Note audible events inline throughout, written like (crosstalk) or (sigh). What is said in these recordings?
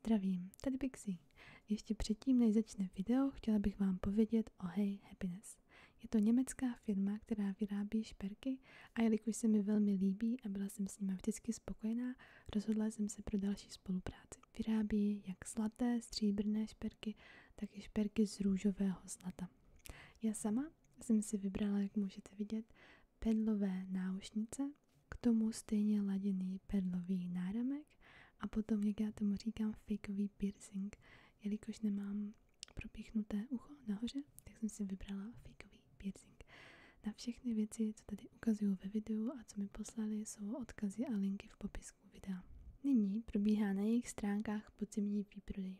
Zdravím, tady Bixi. Ještě předtím, než začne video, chtěla bych vám povědět o Hey Happiness. Je to německá firma, která vyrábí šperky a jelikož se mi velmi líbí a byla jsem s nimi vždycky spokojená, rozhodla jsem se pro další spolupráci. Vyrábí jak zlaté, stříbrné šperky, tak i šperky z růžového zlata. Já sama jsem si vybrala, jak můžete vidět, pedlové náušnice, k tomu stejně laděný perlový náramek a potom, jak já tomu říkám, fakeový piercing. Jelikož nemám propíchnuté ucho nahoře, tak jsem si vybrala fakeový piercing. Na všechny věci, co tady ukazuju ve videu a co mi poslali, jsou odkazy a linky v popisku videa. Nyní probíhá na jejich stránkách podzimní výprodej.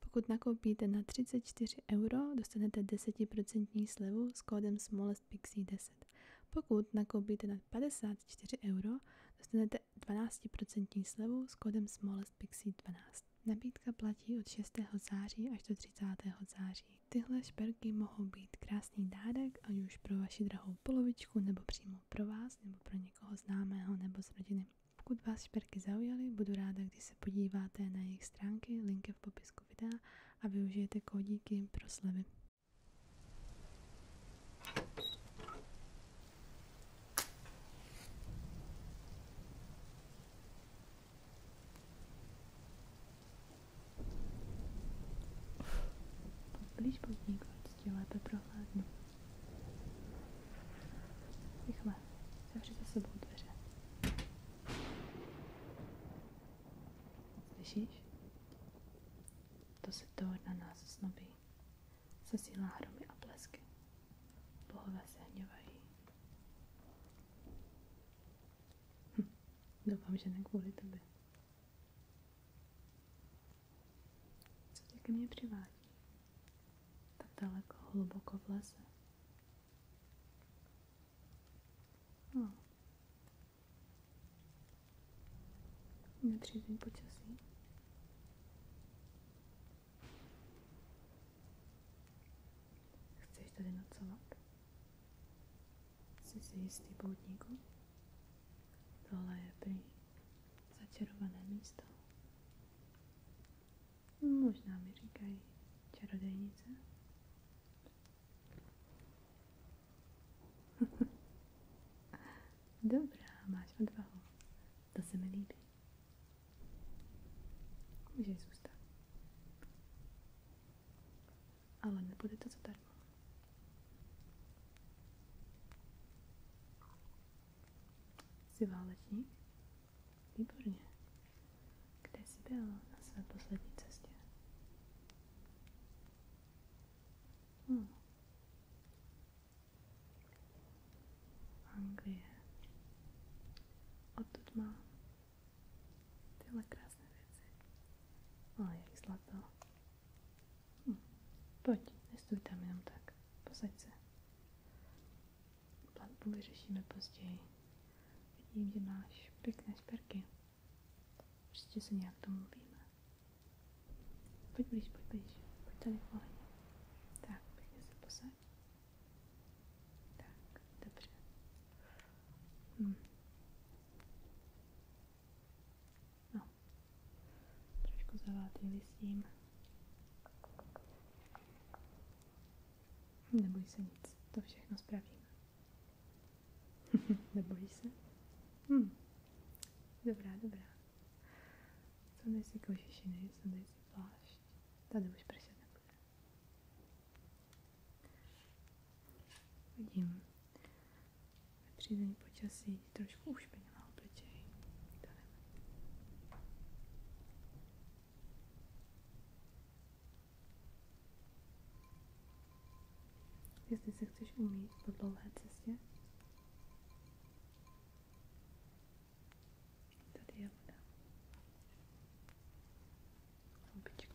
Pokud nakoupíte na 34 euro, dostanete 10% slevu s kódem smole Blast Pixie 10. Pokud nakoupíte nad 54 euro, dostanete 12% slevu s kódem SmallestPixie 12. Nabídka platí od 6. září až do 30. září. Tyhle šperky mohou být krásný dárek, ať už pro vaši drahou polovičku, nebo přímo pro vás, nebo pro někoho známého, nebo z rodiny. Pokud vás šperky zaujaly, budu ráda, když se podíváte na jejich stránky, link je v popisku videa a využijete kódíky pro slevy. Blíž podnik, tě lépe prohlédnu. Rychle, zavři za sebou dveře. Slyšíš? To se to na nás snobí. Zasílá hromy a blesky. Bohové se hněvají. Hm, doufám, že ne kvůli tebe. Co tě ke mně přivádí? Tak daleko, hluboko v lese. No, Nepřízeň počasí. Chceš tady nocovat? Jsi si jistý poutníku? Tohle je prý začarované místo. Možná mi říkají čarodějnice. (laughs) Dobrá, máš odvahu. To se mi líbí. Můžeš zůstat. Ale nebude to zadarmo. Jsi válečník? Výborně. Kde jsi byl na své poslední cestě? Hmm. Anglie. Odtud má tyhle krásné věci. Ale no, jak zlato. Hm. Pojď, nestůj tam jenom tak. Posaď se. Platbu vyřešíme později. Vidím, že máš pěkné šperky. Prostě se nějak domluvíme. Pojď blíž, pojď blíž. Pojď tady pohledně. Tak, pěkně se posaď. Tak, dobře. Hm. No. Trošku zavátý s tím. Neboj se nic, to všechno spravíme. (laughs) Nebojíš se? Hm. Dobrá, dobrá. Sundej si košišiny, sundej si plášť. Tady už pršet nebude. Vidím. Ve přízení počasí trošku ušpinila obličej. To nevadí. Jestli se chceš umít po dlouhé cestě, je voda. Houbička.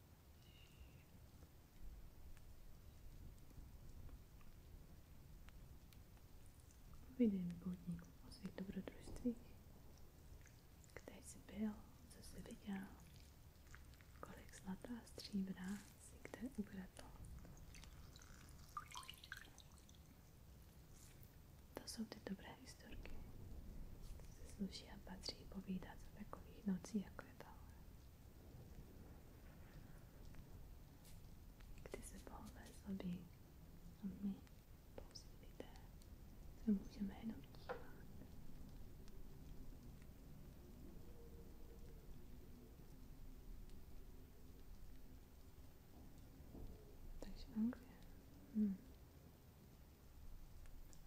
Videem budník o svých kde jsi byl, co jsi viděl, kolik zlata a stříbra si kde ubratl. To jsou ty dobré historky, se sluší a patří povídat takových nocích, jako je tahle. Kdy se bohové zlobí a my, pouze lidé, se můžeme jenom dívat. Takže Anglie. Hmm.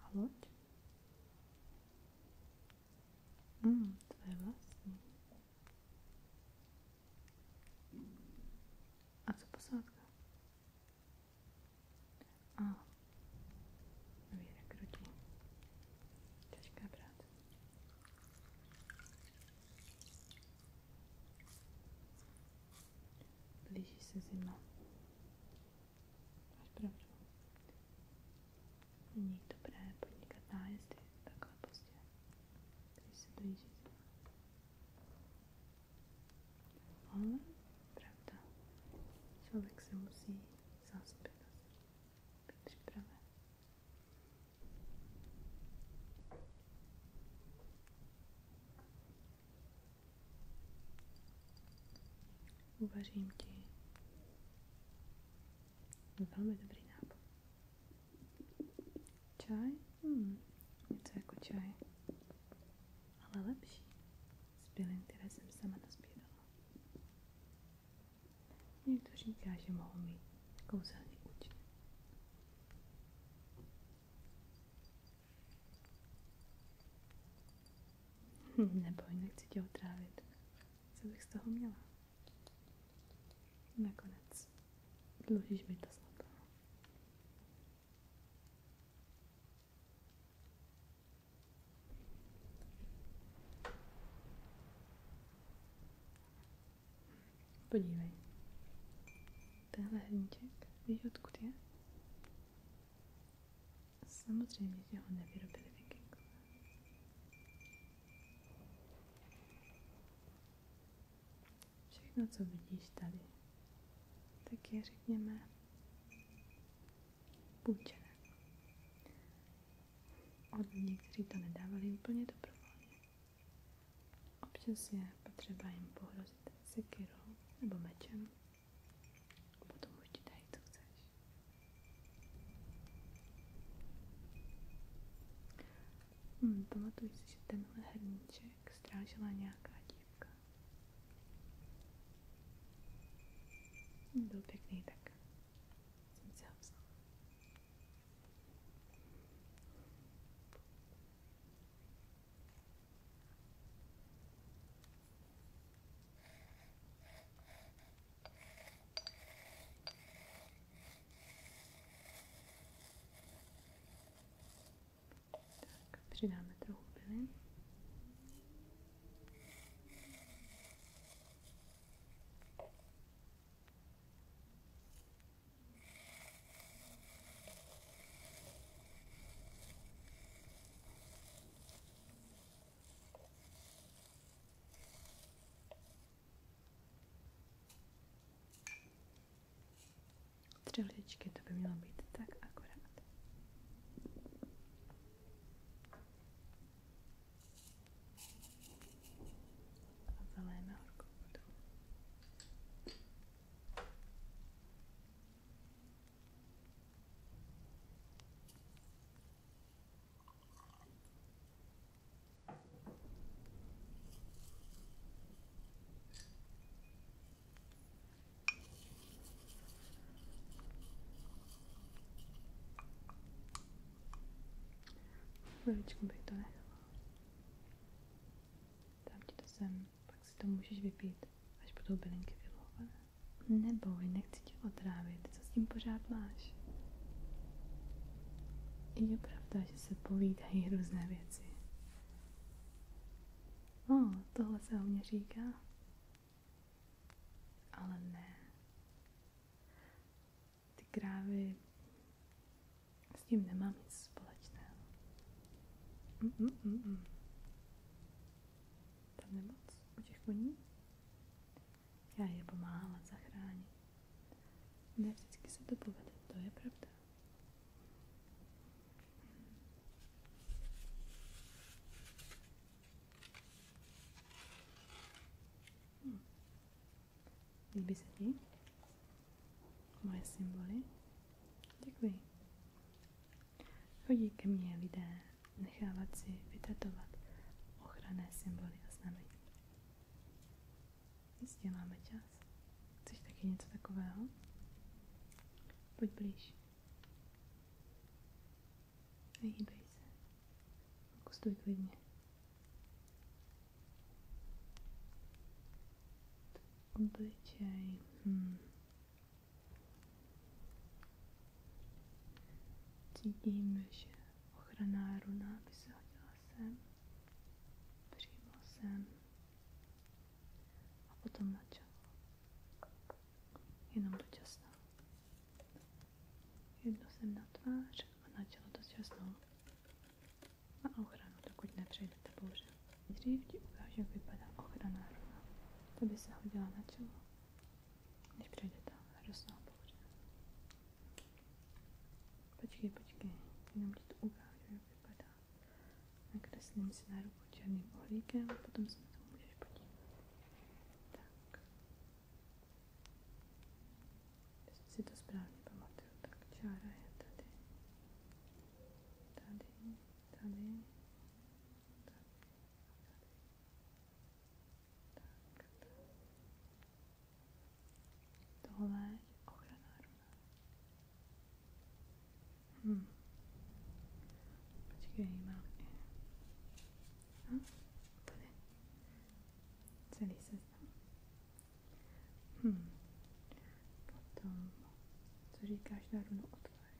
A loď? Mm, tvé vlastní. A co posádka? A nový rekrutí. Těžká práce. Blíží se zima. Máš pravdu. Není takhle pozdě, když se blíží zima. pravda, člověk se musí zaspět být připraven. Velmi dobrý nápad. Čaj? Hmm, něco jako čaj. Ale lepší. Z bylin, které jsem sama nazbírala. Někdo říká, že mohou mít kouzelný účinek. Hm, Neboj, nechci tě otrávit co bych z toho měla. Nakonec. Dlužíš mi to snad. Podívej. Tenhle hrníček, víš, odkud je? Samozřejmě, že ho nevyrobili vikingové. Všechno, co vidíš tady, tak je, řekněme, půjčené. Od lidí, kteří to nedávali úplně dobrovolně. Občas je potřeba jim pohrozit sekirou nebo mečem. potom už ti dají, co Hmm, pamatuju si, že tenhle hrníček strážila nějaká dívka. Hmm, byl pěkný, tak jsem si tak, přidáme trochu bylin. Tři hličky, to by mělo být tak akorát. A zaléme horkou vodou. Chviličku bych to nechala. Dám ti to sem, pak si to můžeš vypít, až budou bylinky vylouvané. Neboj, nechci tě otrávit, co s tím pořád máš? Je pravda, že se povídají různé věci. O, no, tohle se o mě říká. Ale ne. Ty krávy s tím nemám nic společného. Mm, mm, mm, mm. Tam nemoc u těch koní? Já je pomáhala zachránit. Ne vždycky se to povede, to je pravda. Hm. Líbí se ti moje symboly? Děkuji. Chodí ke mně lidé nechávat si vytetovat ochranné symboly a znamení. Jistě máme čas. Chceš taky něco takového? Pojď blíž. Nehýbej se. Fokustuj klidně. Obličej. Hmm. Cítím, že ochranná runa by se hodila sem, přímo sem a potom na čelo. Jenom dočasnou. Jedno sem na tvář a na čelo dočasnou. A ochranu, dokud nepřejdete bouře. Dřív ti ukážu, jak vypadá ochrana runa. To se hodila na čelo. Když přijdete radostná pohoda. Počkej, počkej, jenom ti to ukážu, jak vypadá. Nakreslím si na ruku černým ohlíkem, potom se na to můžeš podívat. Tak. Jestli si to správně pamatuju, tak čára je tady. Tady, tady. Tady. Tak, tak. Tohle je ochrana runa. Hm. Počkej, mám Celý seznam. Hm. Potom, co říkáš na runu otvář?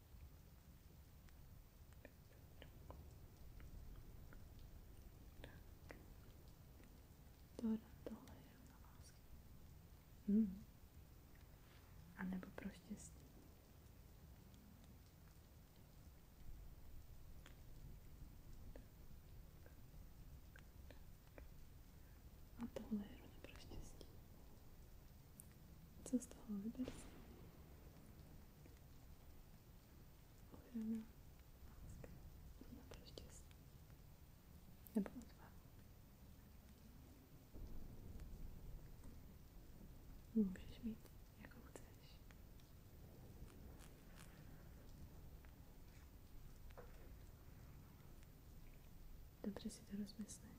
A nebo pro štěstí. A tohle je rovna pro štěstí. Co z toho vyber si? Ochrana, láska, no pro štěstí. Nebo mít, jakou chceš. Dobře si to rozmyslej.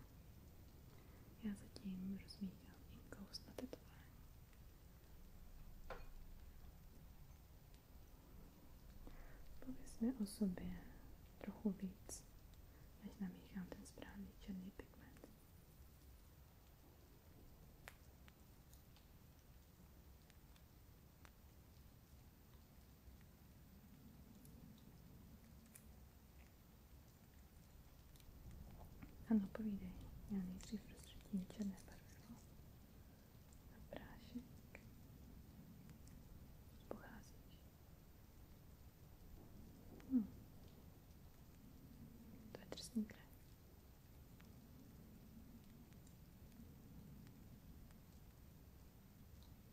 Já zatím rozmíchám inkou z tetování. Pověz mi o sobě trochu víc, než namíchám ten správný černý pigment. Ano, povídej. Já nejdřív rozředím černé barvivo na prášek. Pocházíš. Hm. To je trstní krev.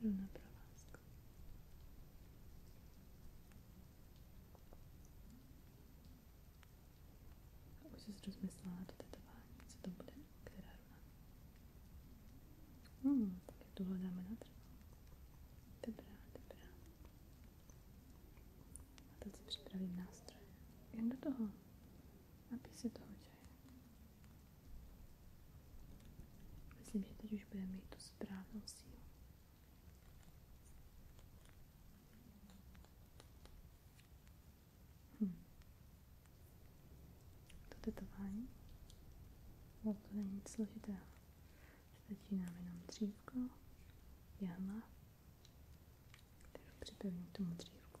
Jdu na provázku. A už jsi rozmyslela do tetování, co to bude, která runa. Hmm, tak tuhle dáme na trhu. Dobrá, dobrá. A teď si připravím nástroj. Jen do toho. Napij si toho čaje. Myslím, že teď už bude mít tu správnou sílu. Hm. To tetování. No to není nic složitého. Stačí nám jenom dřívko, jehla, kterou připevním tomu dřívku.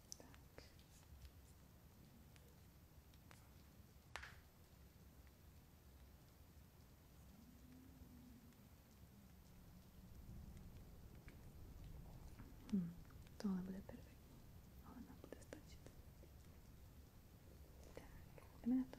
Tak. Hm, tohle bude perfektní. Ale nám bude stačit. Tak, jdeme na to.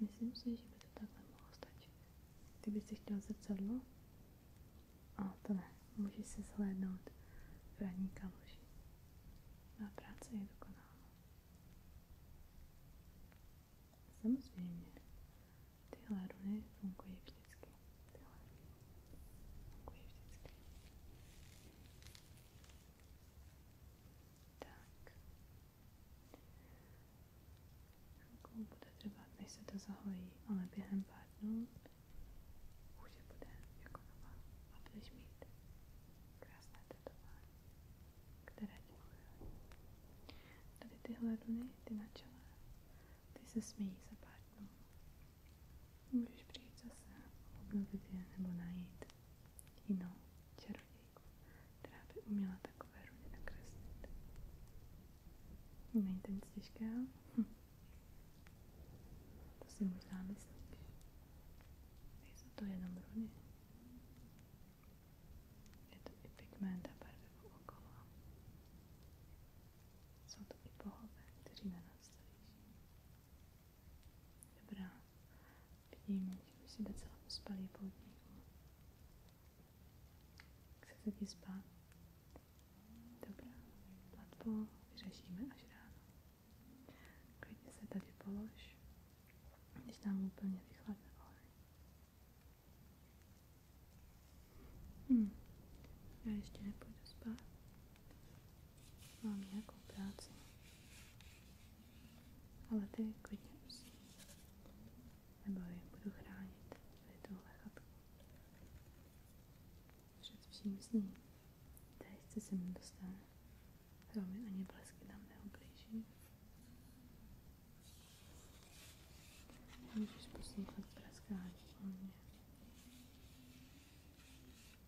Myslím si, že by to takhle mohlo stačit. Ty bys si chtěl zrcadlo? A to ne. Můžeš se zhlédnout v ranní kaluži. Má práce je dokonalá. Samozřejmě, tyhle runy fungují vždycky. Tyhle fungují vždycky. Tak. Chvilku jako bude trvat, než to zahojí, ale během pár dnů už bude jako nová a budeš mít krásné tetování, které ti Tady tyhle runy, ty na ty se smějí za pár dnů. Můžeš přijít zase obnovit je nebo najít jinou čarodějku, která by uměla takové runy nakreslit. Není to nic těžkého? Hm. To si možná myslíš. Nejsou to jenom runy. Je to i pigment a barvivo okolo. Jsou to i bohové, kteří na nás leží. Dobrá. Vidím, že už jsi docela pospalý po dníku. Chce se ti spát? Dobrá. Platbu vyřešíme až ráno. Klidně se tady polož, když nám úplně vychladne oheň. Hm. Já ještě nepůjdu spát mám nějakou práci. Ale ty klidně prosím. Nebo ji budu chránit tady tuhle chatku. Před vším s ní. Teď se sem dostane. Kromě ani blesky nám neublíží. Můžeš poslouchat praskání